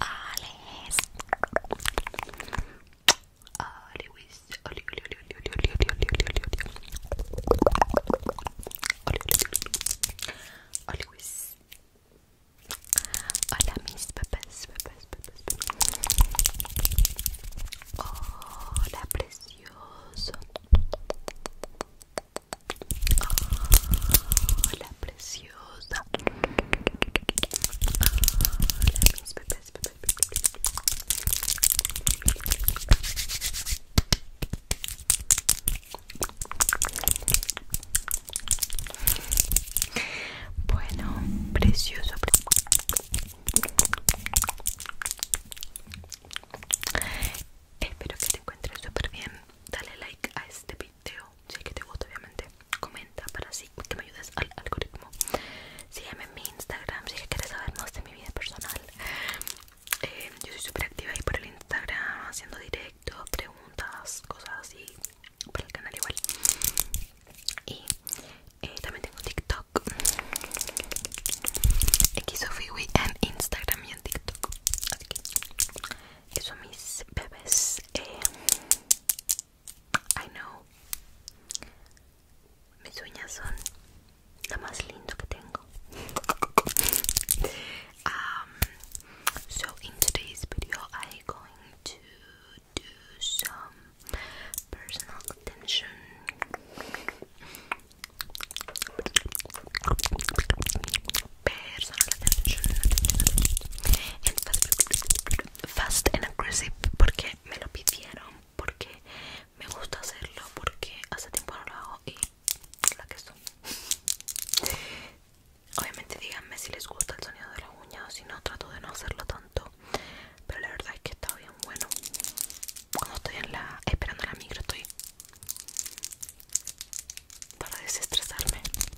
Alice. Always, always, always, Hola mis papás, papás, papás, papás. Hola precioso. Hola precioso. Bueno, precioso. Espero que te encuentres súper bien. Dale like a este video si es que te gusta obviamente Comenta para que me ayudes al algoritmo Sígueme en mi Instagram si es que quieres saber más de mi vida personal em, Yo soy súper activa ahí por el Instagram Haciendo directos, preguntas, cosas así Por el canal igual Y eh, también tengo TikTok Xofiwi en Instagram y en TikTok Así que, son mis bebés em, I know. Mis uñas son lo más lindo que tengo. um, so in today's video, I'm going to do some personal attention. Personal attention, fast and aggressive porque me lo pidieron, porque me gusta hacerlo, porque hace tiempo no lo hago y la que soy. Obviamente díganme si les gusta el sonido de la uña o si no, trato de no hacerlo tanto. Pero la verdad es que está bien bueno. Cuando estoy en la, esperando la micro estoy para desestresarme.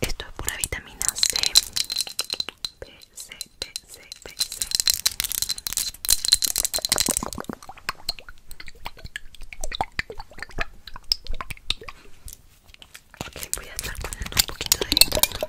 Esto es pura vitamina C. B, C, B, C, B, C. Ok, voy a estar poniendo un poquito de esto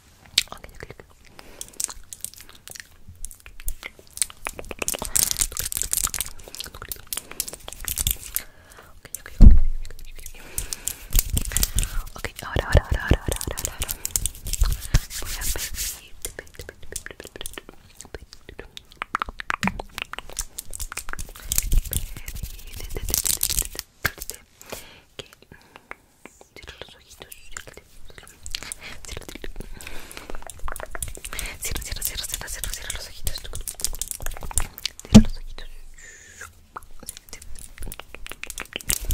Okay, okay, okay. Okay, okay, okay. Okay, ahora, ahora, ahora, ahora, ahora, ahora, ahora. Voy a pedirte, pedirte, pedirte, pedirte, pedirte. Pedirte, pedirte, pedirte, pedirte. Que Cierra los ojitos. Cierra, cierra, cierra, cierra, cierra, cierra los ojitos. Cierra los ojitos. Perfecto,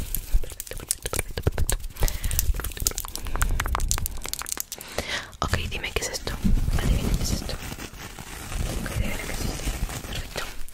perfecto, perfecto, Ok, dime qué es esto. Adivina qué es esto. Ok, dime es esto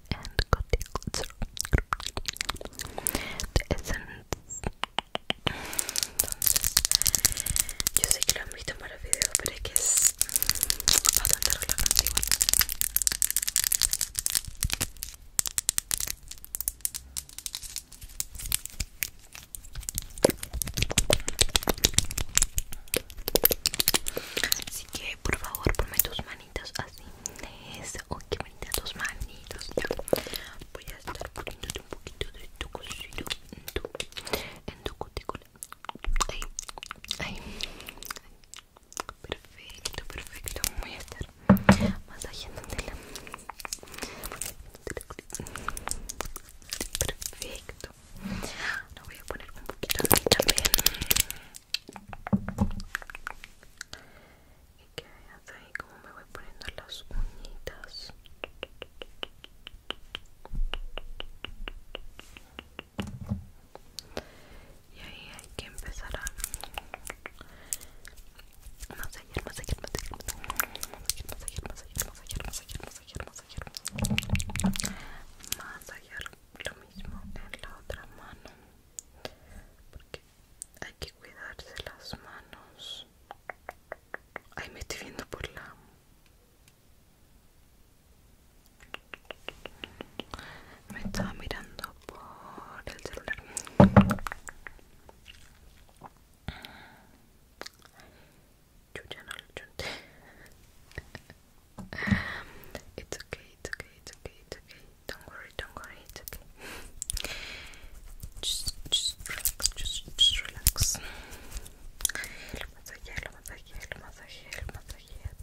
y cotyledons. The Essence. Entonces, yo sé que lo han visto en varios videos, pero es que es bastante relajante igual. Así que por favor ponme tus manos así. Eso, que qué bonitas tus manitos. Ya. Voy a estar poniéndote un poquito de tu cosito en tu, cutícula. Ahí, ahí. Perfecto, perfecto. Voy a estar la Perfecto. lo voy a poner un poquito de también y que veas ahí como me voy poniendo las uñitas y ahí hay que empezar a masajear, masajear, masajear, masajear, masajear, masajear, lo mismo en la otra mano porque hay que cuidarse las manos Ahí me estoy viendo por la me estaba mirando por el celular yo ya no lo chunté it's okay, it's okay, it's okay, it's okay Don't worry, don't worry, okay. just, just relax, just, just relax. Lo masajea, lo masajea, lo masajea, lo masajea. relax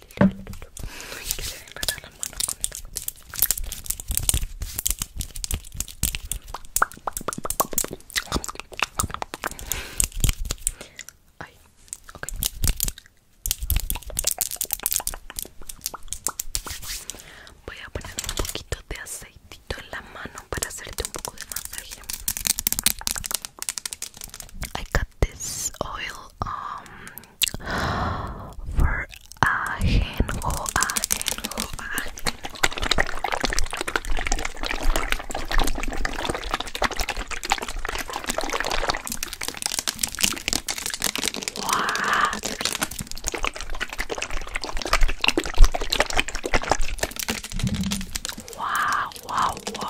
Voy a poner un poquito de aceitito en la mano para hacerte un poco de masaje. I got this oil um, for ajenjo, ajenjo, Wow, wow, wow.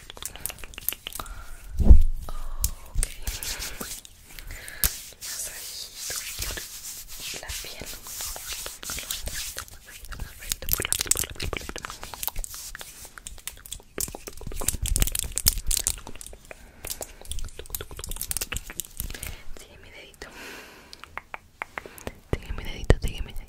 Ok. la piel. por la por la piel, mi dedito. Sigue mi dedito, sigue mi dedito. Sigue mi dedito.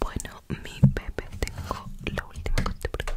Bueno, mi bebé, tengo la última cosita